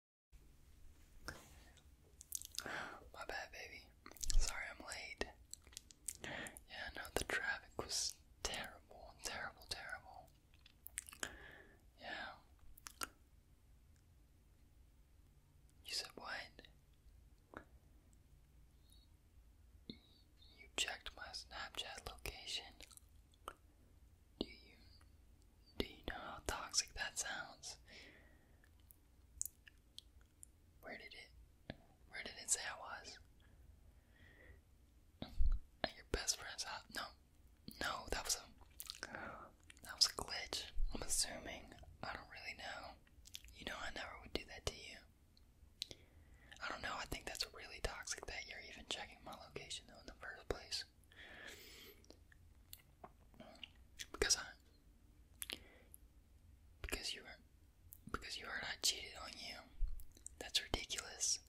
My bad, baby. Sorry I'm late. Yeah, no, the traffic was terrible, terrible, terrible. Yeah. You said what? You checked my Snapchat location. Do you do you know how toxic that sounds? Where did it where did it say I was? your best friend's house? No. No, that was a that was a glitch. I'm assuming. I don't really know. You know I never would do that to you. I don't know, I think that's really toxic that you're even checking my location though in the first place. Because I because you were because you heard I cheated on you. That's ridiculous.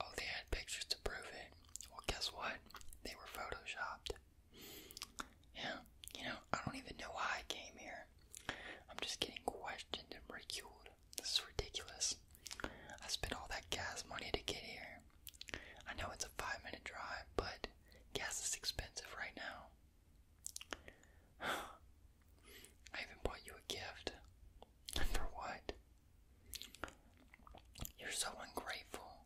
Oh, they had pictures to prove it. Well, guess what? They were photoshopped. Yeah, you know, I don't even know why I came here. I'm just getting questioned and ridiculed. This is ridiculous. I spent all that gas money to get here. I know it's a five minute drive, but gas is expensive right now. I even bought you a gift. For what? You're so ungrateful.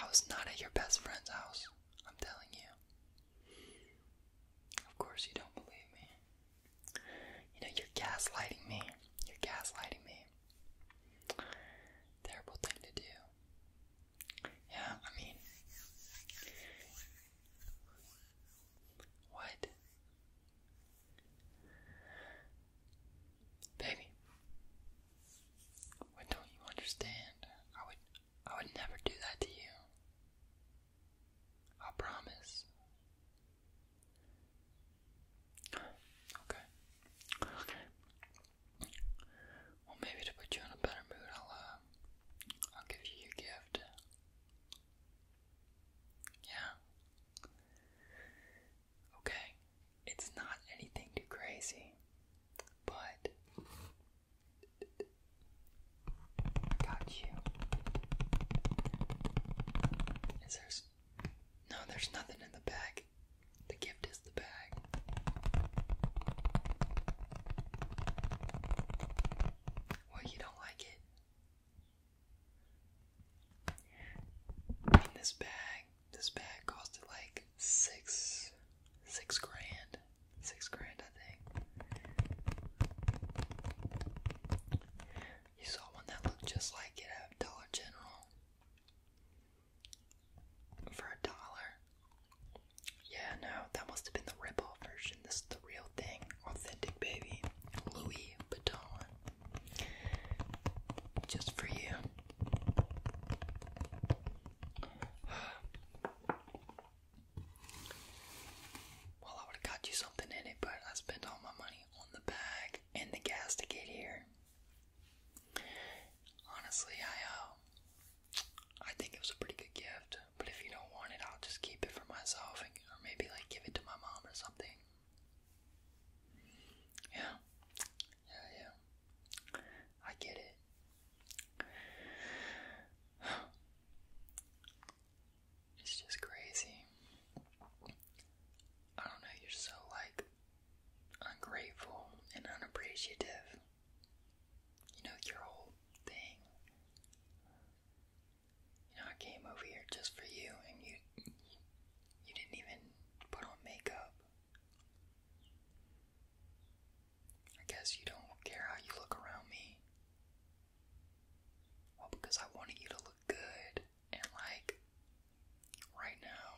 I was not at your best friend's house, I'm telling you. Of course, you don't believe me. You know, you're gaslighting me. You're gaslighting me. Terrible thing to do. Yeah, I mean, what? Baby, what don't you understand? I would, I would never do that to you. I promise. Okay. Okay. Well, maybe to put you in a better mood, I'll uh, I'll give you your gift. Yeah. Okay. It's not anything too crazy, but I got you. Is there no, there's nothing in the bag. The gift is the bag. Well, you don't like it. this bag, this bag costed like six, six grand, six grand, I think. You saw one that looked just like it at Dollar General for a dollar. Yeah, no, that must have been the rip version. This is the real thing, authentic baby, Louis Vuitton, just for you. Well, I would have got you something in it, but I spent all my money on the bag. And the gas to get here. Honestly, I um, I think it was a pretty good gift. But if you don't want it, I'll just keep it for myself, or maybe like give it to my mom or something. Yeah, yeah, yeah. I get it. It's just crazy. I don't know, you're so like ungrateful and unappreciative. You know, your whole thing. You know, I came over here just for you and you you didn't even put on makeup. I guess you don't care how you look around me. Well, because I wanted you to look good, and like, right now,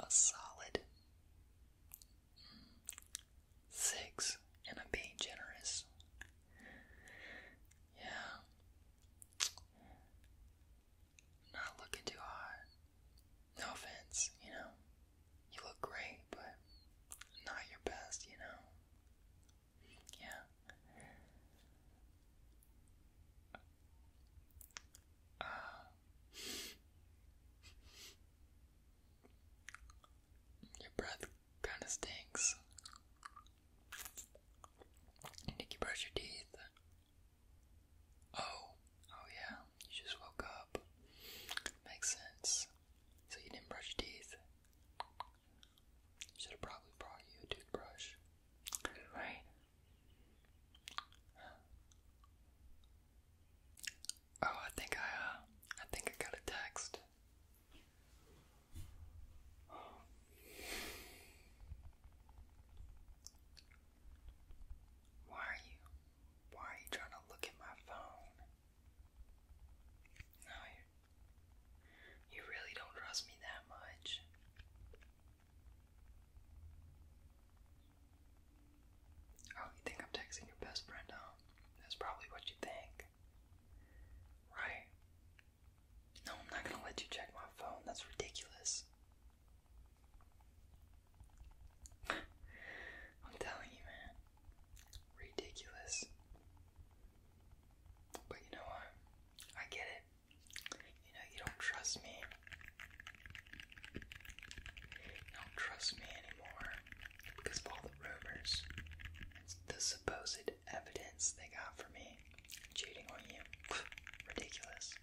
a solid mm, six, and I'm being generous. Yeah. Not looking too hot. No offense, you know. You look great, but not your best, you know. Yeah. Your breath kind of stinks. Did you brush your teeth? Oh, oh yeah, you just woke up. Makes sense. So you didn't brush your teeth. Should have probably brought you a toothbrush. Right. Oh, I think I, uh, I think I got a text. Why are you, why are you trying to look at my phone? No, you, really don't trust me that much. Oh, you think I'm texting your best friend, huh? That's probably what you think. Right? No, I'm not gonna let you check my phone. That's ridiculous. I'm telling you, man ridiculous. But you know what? I get it. You know, you don't trust me. don't trust me anymore because of all the rumors the supposed evidence they got for me cheating on you. Ridiculous.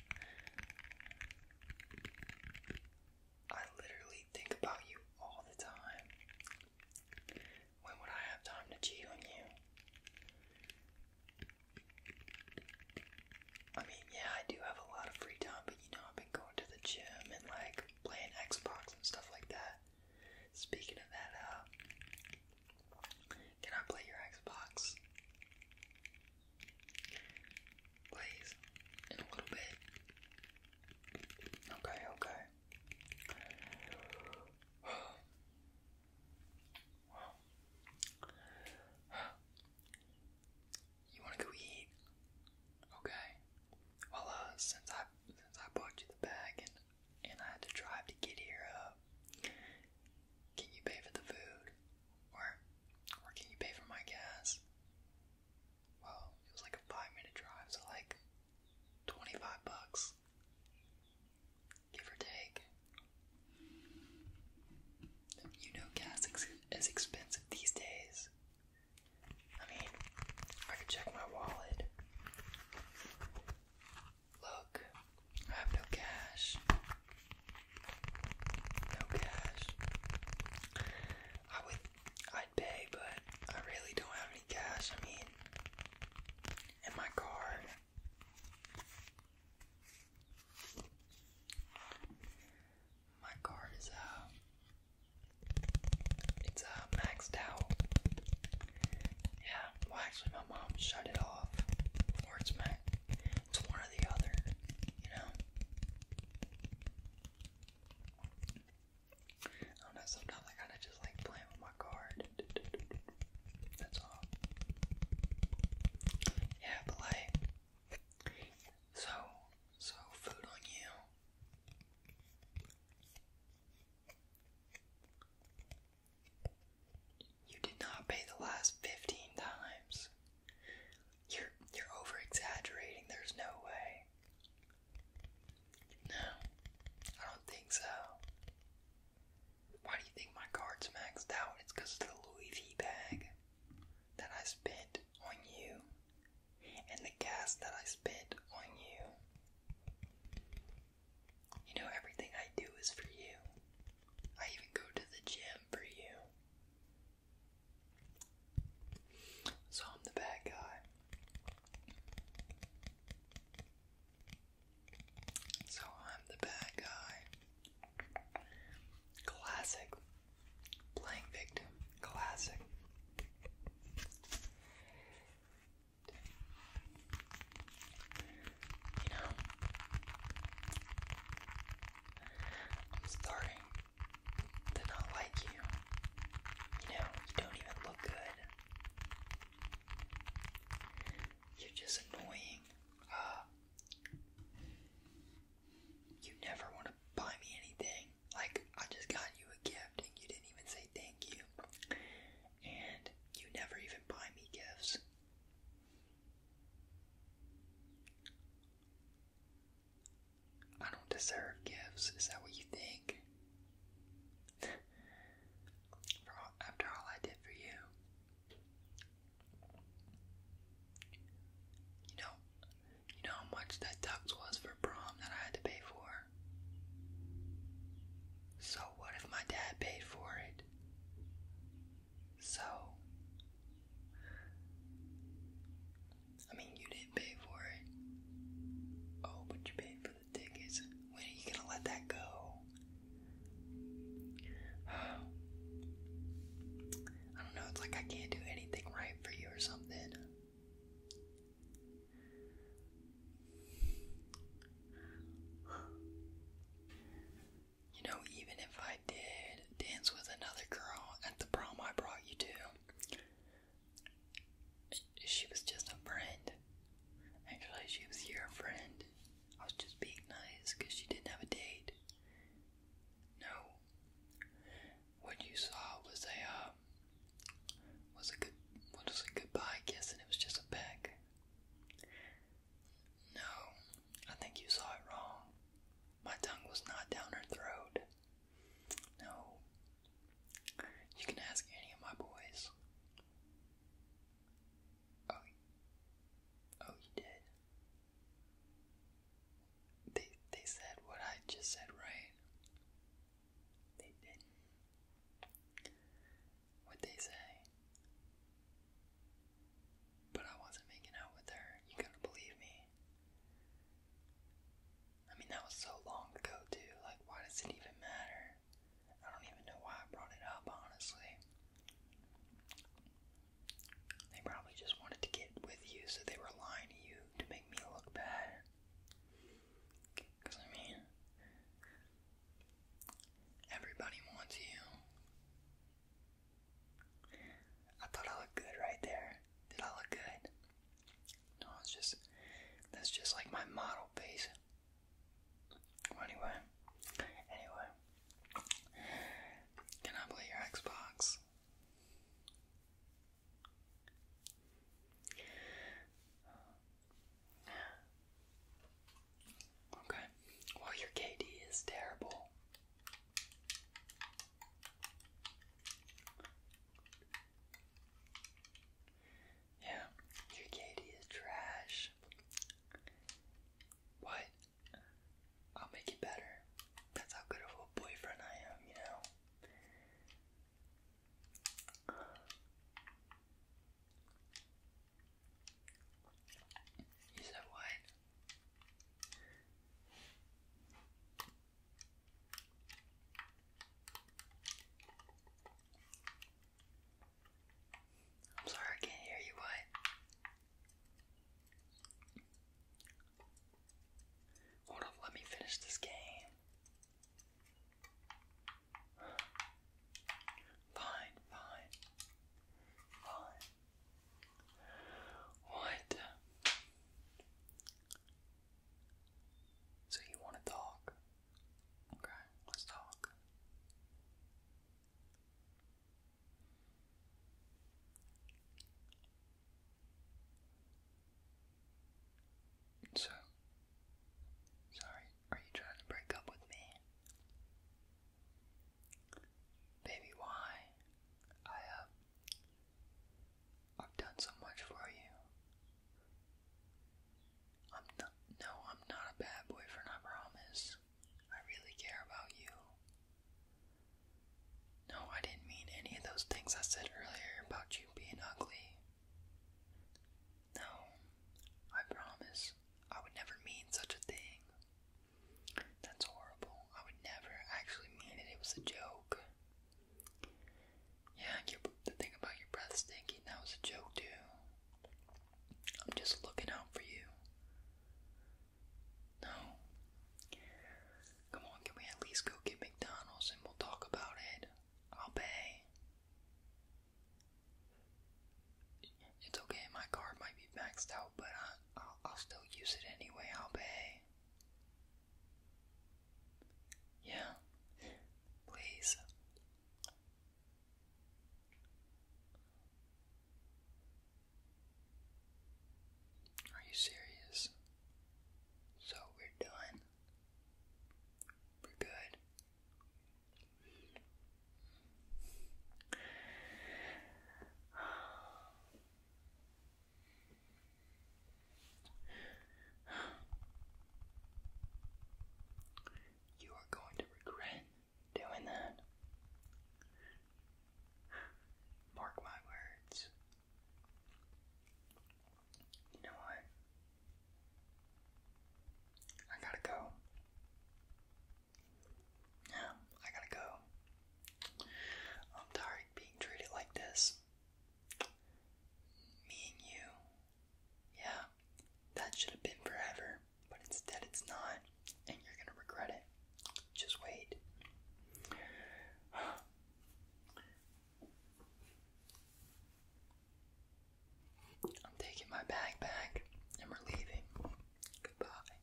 I literally think about you all the time. When would I have time to cheat on you? I mean, yeah, I do have a lot of free time, but you know, I've been going to the gym and like playing Xbox and stuff like that. Speaking of that, uh, can I play your Xbox? Please, in a little bit. Okay, okay. You wanna go eat? Okay. Well, uh, since I since I bought you the bag and and I had to drive to get here, uh, can you pay for the food, or or can you pay for my gas? Well, it was like a five minute drive, so like 25 bucks, give or take. You know gas is expensive these days. I mean, I could check my wallet. Look, I have no cash. No cash. I would I'd pay, but I really don't have any cash. I mean, and my card. My card is uh it's uh maxed out. Yeah, well actually my mom shut it off. Or it's max it's one or the other, you know. I know, sometimes I kind of just like playing with my card. That's all. Yeah, but like, so, so food on you. You did not pay the last 15 times. You're you're over exaggerating. There's no way. No, I don't think so. Why do you think my card's maxed out? It's because of the Louis V bag that I spent on you and the gas that I spent on you. You know, everything I do is for you. I even go to the gym for you. So I'm the bad guy. So I'm the bad guy. Classic. Playing victim. Classic. You know, I'm starting to not like you. You know, you don't even look good. You're just annoying. Ah. you never want to buy me anything. Like, I just got you a gift and you didn't even say thank you. And you never even buy me gifts. I don't deserve gifts. Is that what you think? for after all I did for you. You know, you know how much that tux was for prom that I had to pay for? So what if my dad paid for it? So I mean, you didn't pay for it. Oh, but you paid for the tickets. When are you gonna let that go? I don't know, it's like I can't do anything right for you or something. You know, even if I did dance with another girl at the prom I brought you to, she was just a friend. Actually, she was your friend. I was just being nice because she didn't have a date. No. What you saw was a uh, was a good was a goodbye kiss, and it was just a peck. No, I think you saw it wrong. My tongue was not down her throat. No. You can ask any of my boys. Oh, oh, you did. They they said what I just said, right? They didn't. What they say. But I wasn't making out with her. You gotta believe me. I mean, that was so long ago, too. Like, why does it even matter? I don't even know why I brought it up, honestly. They probably just wanted to get with you, so they were lying to you to make me look bad. Because, I mean, everybody wants you. I thought I looked good right there. Did I look good? No, it's just that's just like my model base. anyway, anyway, can I play your Xbox? Okay. Well, your KD is terrible. Yeah, your Katie is trash. What? I'll make it better. That's how good of a boyfriend I am, you know? You said what? I'm sorry, I can't hear you, what? Hold up, let me finish this game. Fine, fine, fine. What? So you want to talk? Okay, let's talk. So, sorry, are you trying to break up with me? Baby, why? I, uh, I've done so much for you. I'm not, no, I'm not a bad boyfriend, I promise. I really care about you. No, I didn't mean any of those things I said earlier about you being ugly. No, I promise I would never mean such a thing. That's horrible. I would never actually mean it. It was a joke. Yeah, the thing about your breath stinking, that was a joke too. I'm just looking out for you. No. Come on, can we at least go get McDonald's and we'll talk about it? I'll pay. It's okay, my card might be maxed out, but I'll still use it anyway. I'll pay. Yeah, please. Are you serious? So we're done. We're good. You are going to regret doing that. Mark my words. You know what? I gotta go. Yeah, I gotta go. I'm tired of being treated like this. Me and you. Yeah, that should have been forever, but instead it's not, and you're gonna regret it. Just wait. I'm taking my bag back and we're leaving. Goodbye.